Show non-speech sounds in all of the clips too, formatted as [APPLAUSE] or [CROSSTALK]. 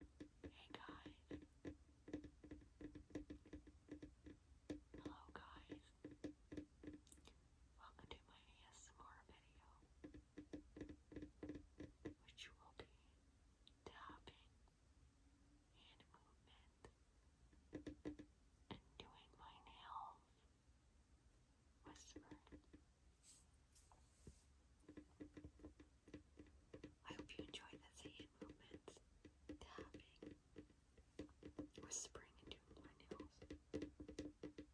Hey guys. Hello guys. Welcome to my ASMR video. Which will be tapping and movement and doing my nails. Whisper. I hope you enjoy the hand movement, tapping, whispering, and doing my nails.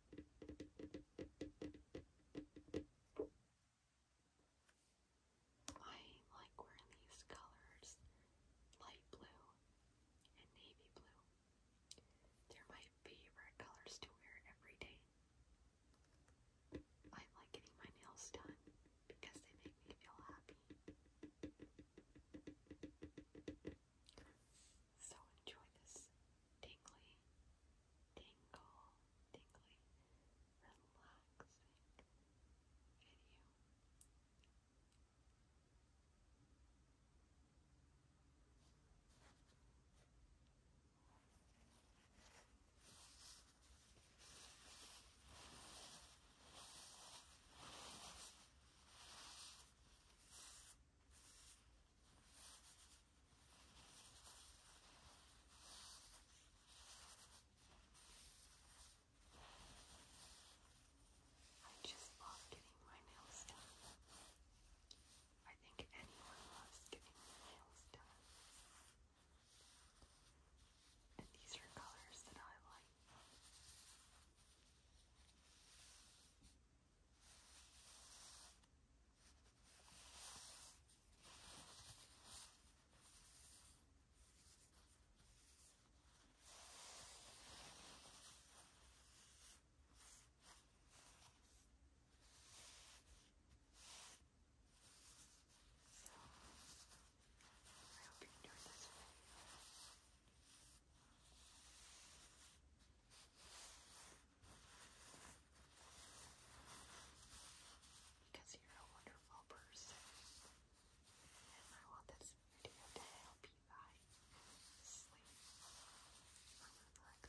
I like wearing these colors light blue and navy blue. They're my favorite colors to wear every day. I like getting my nails done because they make me feel happy. So enjoy this tingly, tingle, tingly, relaxing video. I just love getting my nails done. I think anyone loves getting their nails done. And these are colors that I like. So, I hope you enjoyed this video. Because you're a wonderful person. And I want this video to help you guys sleep relaxation.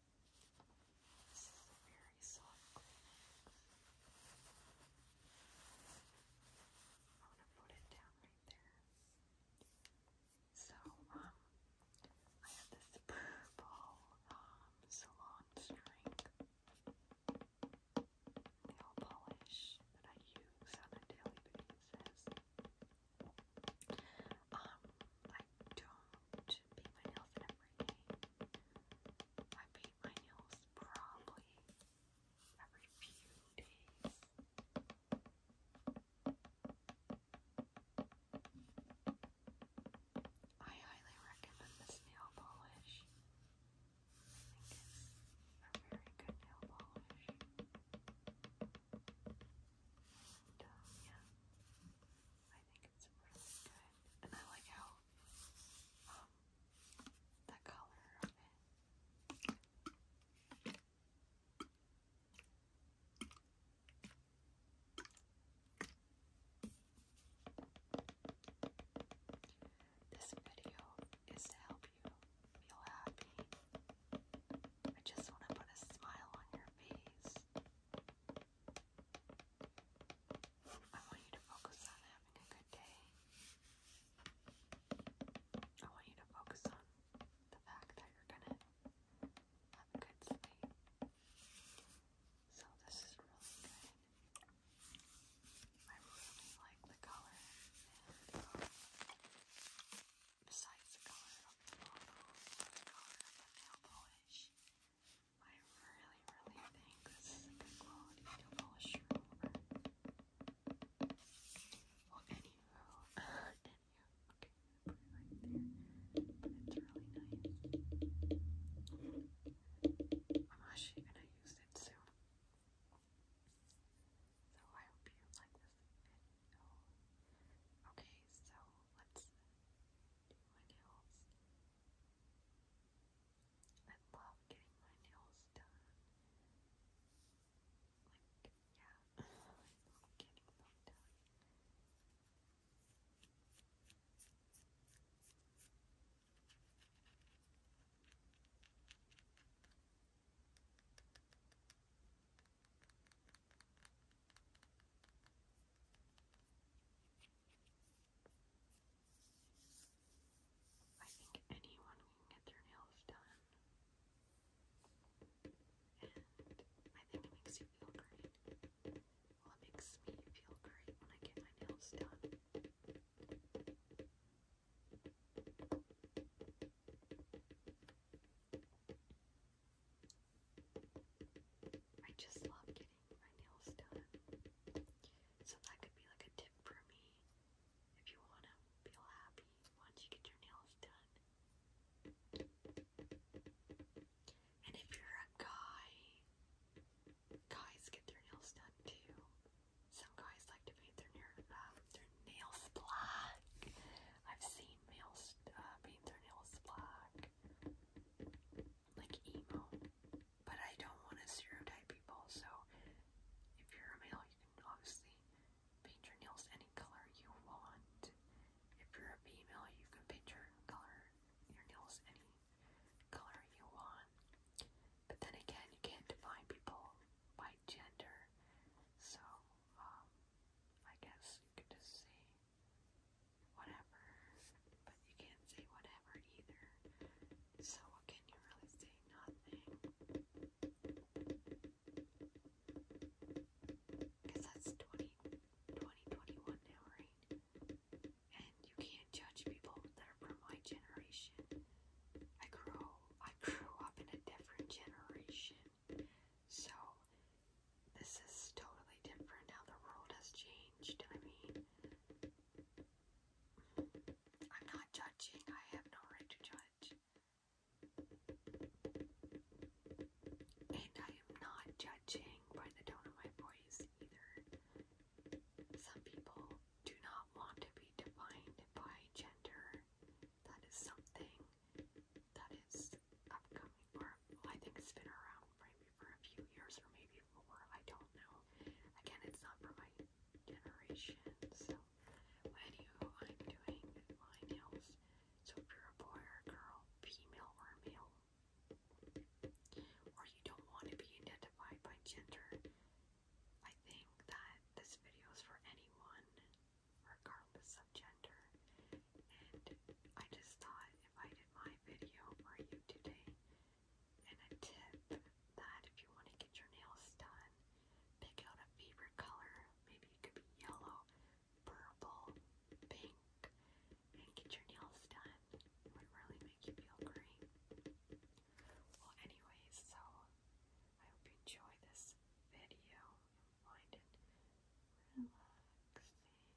This is a very soft I'm gonna put it down right there. So, I have this purple, salon string nail polish that I use on a daily basis don't paint my nails every day. I paint my nails probably every few days. I highly recommend this nail polish. I think it's a very good nail polish. And, um, yeah. I think it's really good. And I like how um the color of it. This video is to help you feel happy. I just want to put a smile on your face. I want you to focus on having a good day. I want you to focus on the fact that you're gonna have a good sleep. So this is really good. I really like the color Besides the color of the nail polish, I really, really think this is a good quality nail polish Well, anywho, [LAUGHS] uh, okay, right there, it's really nice. I'm actually gonna use it soon. So I hope you like this video. Okay, so let's do my nails. I love getting my nails done. Like, yeah, [LAUGHS] I love getting them done. I I think anyone can get their nails done. And I think it makes you feel great. Well, it makes me feel great when I get my nails done. I just love getting my nails done. So that could be like a tip for me. If you want to feel happy once you get your nails done. And if you're a guy, guys get their nails done too. Some guys like to paint their, um, nails black. I've seen nails, uh, paint their nails black, like emo. But I don't want to stereotype people, so if you're a male, you can obviously paint your nails any color you want. If you're a female, you can paint your color, your nails any color you want. But then again, you can't define people by gender, so um, I guess you could just say whatever, but you can't say whatever either. So, what can you really say? Nothing. Because that's 20, now, right? And you can't judge people that are from my generation. I grew I grew up in a different generation. So this is totally different how the world has changed. I mean, I'm not judging, I have no right to judge. And I am not judging by the tone of my voice either. Some people do not want to be defined by gender. That is something that is upcoming, or I think it's been around for maybe for a few years or maybe more. I don't know. Again, it's not for my generation. So, anywho, I'm doing my nails. So if you're a boy or girl, female or male, or you don't want to be identified by gender, I think that this video is for anyone regardless of gender. And I just thought if I did my video for you today, and a tip that if you want to get your nails done, pick out a favorite color. Maybe it could be yellow, purple, pink, and get your nails done. It would really make you feel great. Well, anyways, so I hope you enjoy this video winded, relaxing tingles,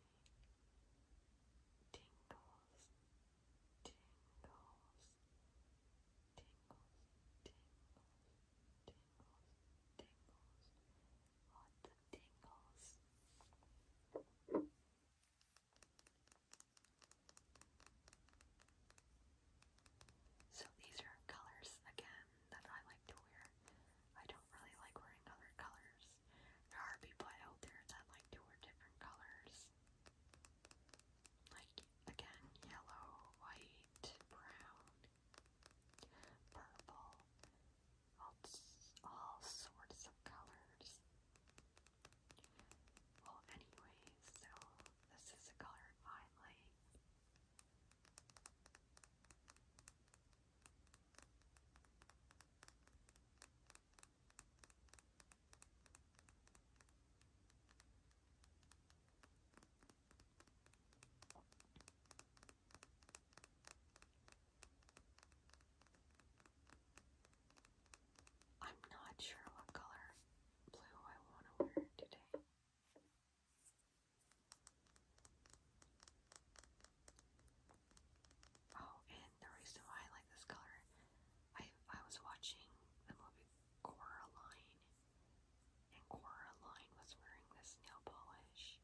tingles, tingles, tingles, tingles, tingles, lots tingles. So these are colors again that I like to wear. I don't really like wearing other colors. There are people out there that like to wear different colors. Like again, yellow, white, brown, purple, all, all sorts of colors. Well, anyways, so this is a color I I'm not sure what color blue I want to wear today. Oh, and the reason why I like this color, I I was watching the movie Coraline, and Coraline was wearing this nail polish,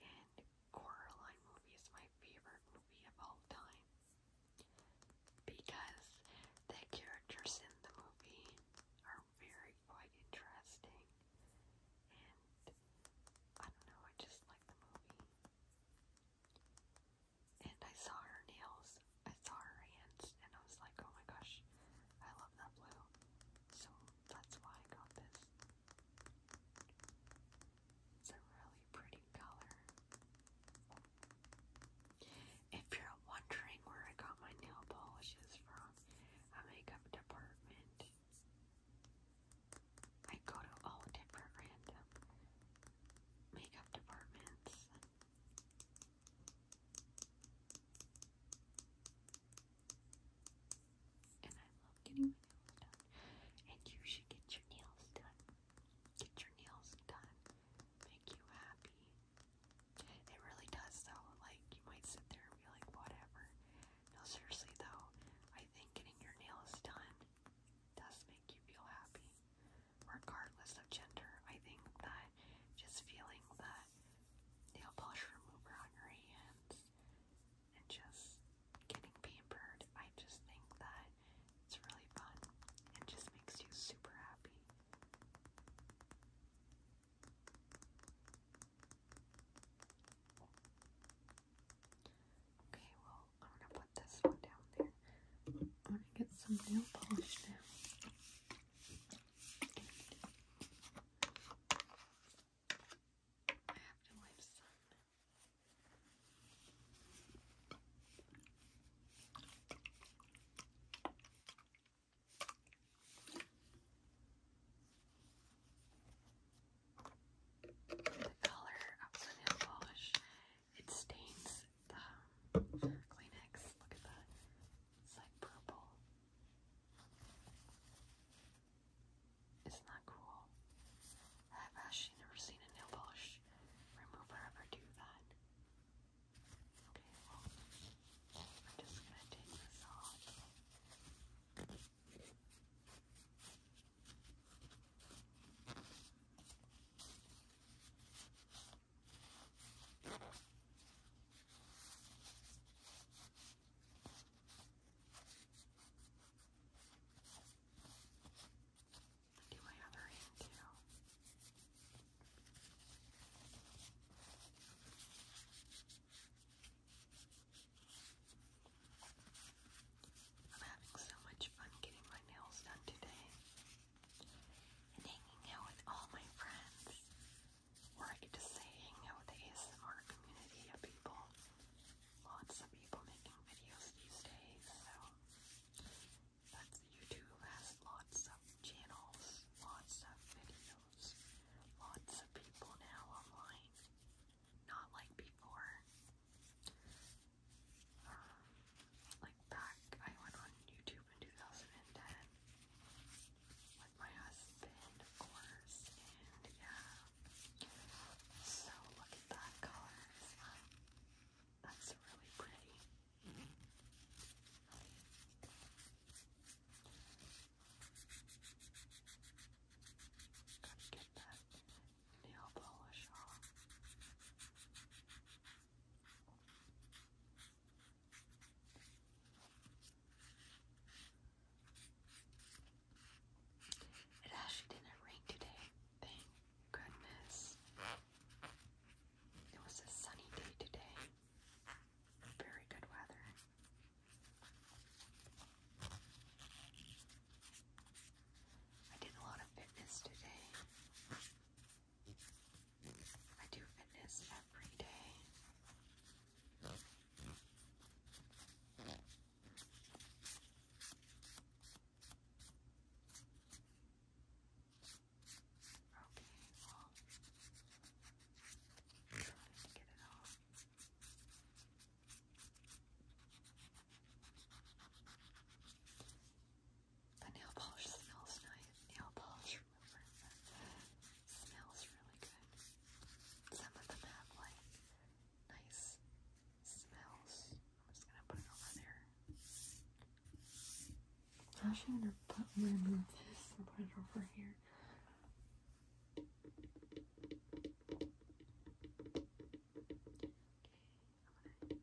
and Coraline movie is my favorite movie of all time because the characters in the movie are very quite interesting. And I don't know, I just like the movie. And I saw her nails, I saw her hands, and I was like, oh my gosh, I love that blue. So that's why I got this. It's a really pretty color. If you're wondering where I got my nail polishes from, a makeup department. I go to all different random makeup departments. And I love getting my nails done. And you should get your nails done. Get your nails done make you happy. It really does though. Like you might sit there and be like, whatever. No, seriously though, I think getting your nails done does make you feel happy. Regardless of gender, I think that just feeling the nail polish remover on your hands and just getting pampered, I just think that it's really fun and just makes you super happy. Okay, well, I'm gonna put this one down there. I'm gonna get some nail polish now. The color of the nail polish, it stains the Kleenex. Look at that. It's like purple. Isn't that cool? I've actually never seen a nail polish remover ever do that. Okay, well, I'm just going to take this off. Do my other hand too. I'm having so much fun getting my nails done today and hanging out with all my friends. Or I could just say hang out with the ASMR community of people. Lots of people making videos these days, that's YouTube has lots of channels, lots of videos, lots of people now online. Not like before. Um, like back, I went on YouTube in 2010 with my husband, of course, and yeah. So look at that color. That's really pretty. Gotta get that nail polish off. It actually didn't rain today. Thank goodness. It was a sunny day today. Very good weather. I did a lot of fitness today. I do fitness every day well, I'm trying to get it off. The nail polish smells nice. Nail polish remover smells really good. Some of them have like nice smells. I'm just gonna put it over there. I'm actually gonna put, my am going and put it over here.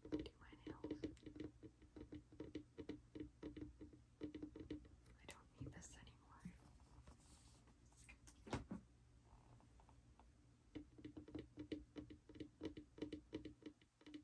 Okay, I'm gonna do my nails. I don't need this anymore.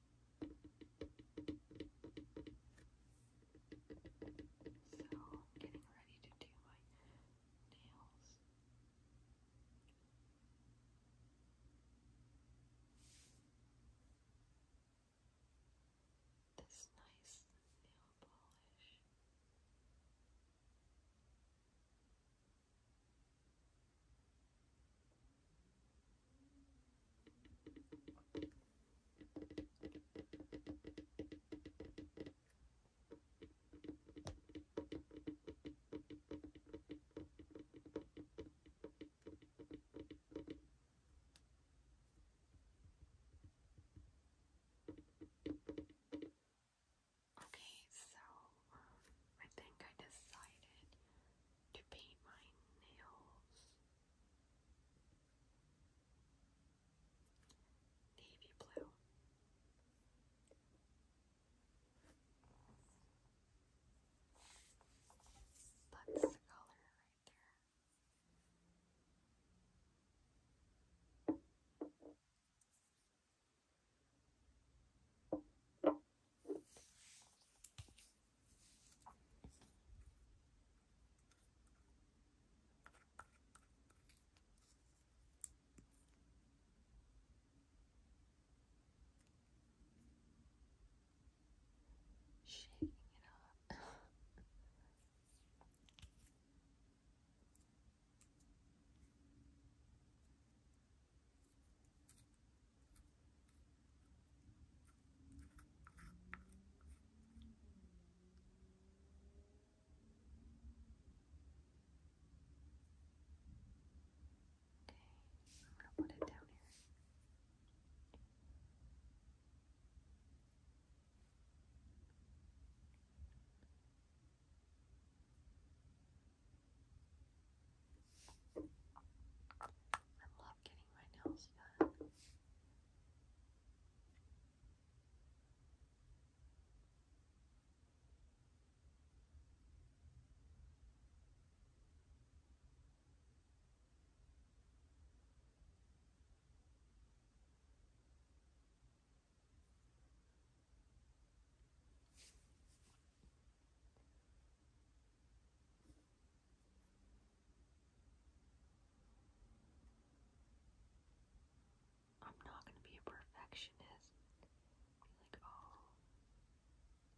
So, I'm getting ready to do my nails. This nice nail polish. Okay, so um, I think I decided to paint my nails. Navy blue. That's the color right there. Shaking it off. [LAUGHS] I'm going to put it down here. I love getting my nails done. I'm not going to be a perfectionist. like, oh,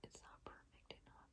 it's not perfect enough.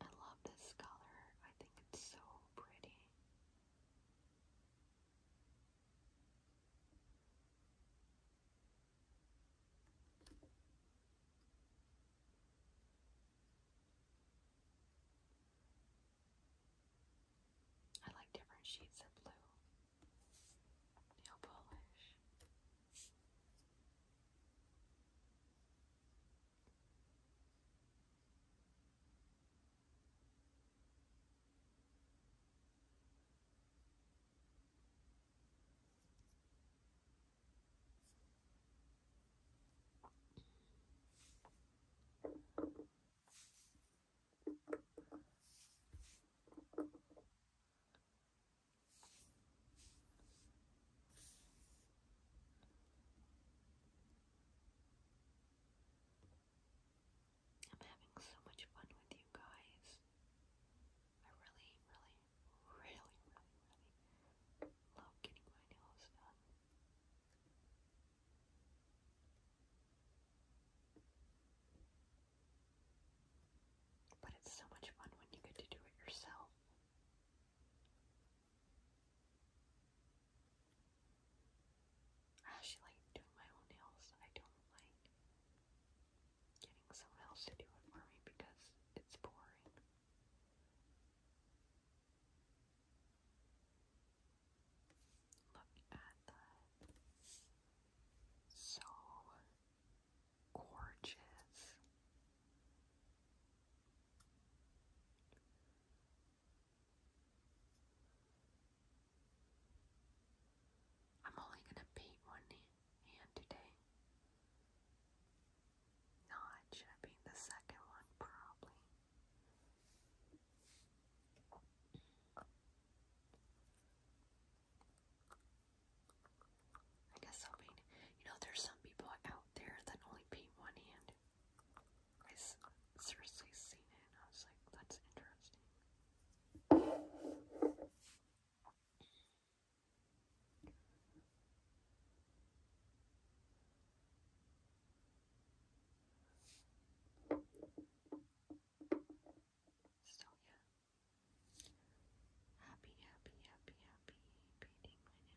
I love this color. I think it's so pretty. I like different shades of blue nail polish. I'm having so much fun with you guys. I really, really, really, really, really love getting my nails done. But it's so much fun when you get to do it yourself. I actually like doing my own nails. I don't like getting someone else to do it for me because it's boring. Look at that. So gorgeous. I'm only going to paint one hand today. No, should have painted the second one, probably. I guess i You know, there's some people out there that only paint one hand. I seriously seen it, I was like, that's interesting. So yeah. Happy, happy, happy, happy painting my nails.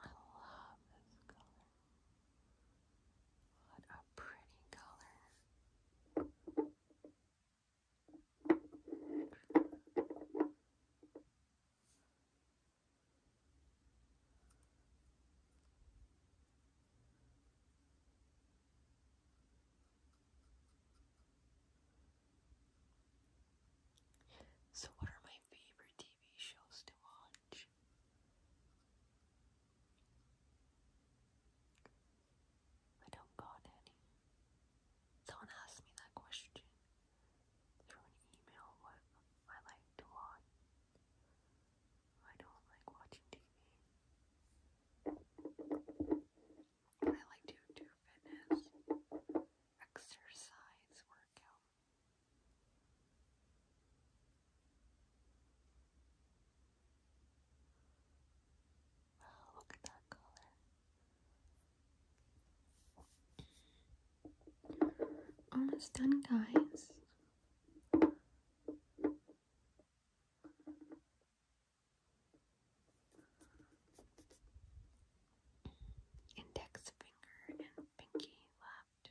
I love this color. What a pretty color. So, what are my favorite TV shows to watch? I don't got any. Someone asked me that question through an email what I like to watch. I don't like watching TV. I like to do fitness, exercise, workout. Wow, oh, look at that color. Almost done, guys. Index finger and pinky left.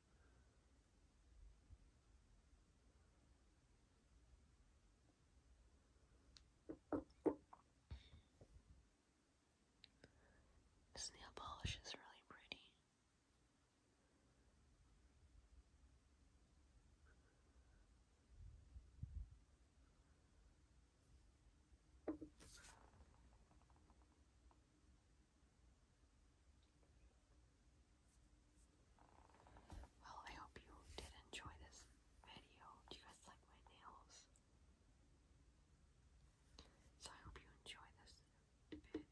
This nail polish is really pretty. Well, I hope you did enjoy this video. Do you guys like my nails? So I hope you enjoy this video.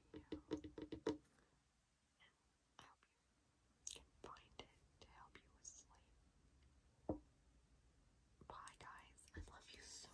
I hope you can find it to help you sleep. Bye guys. I love you so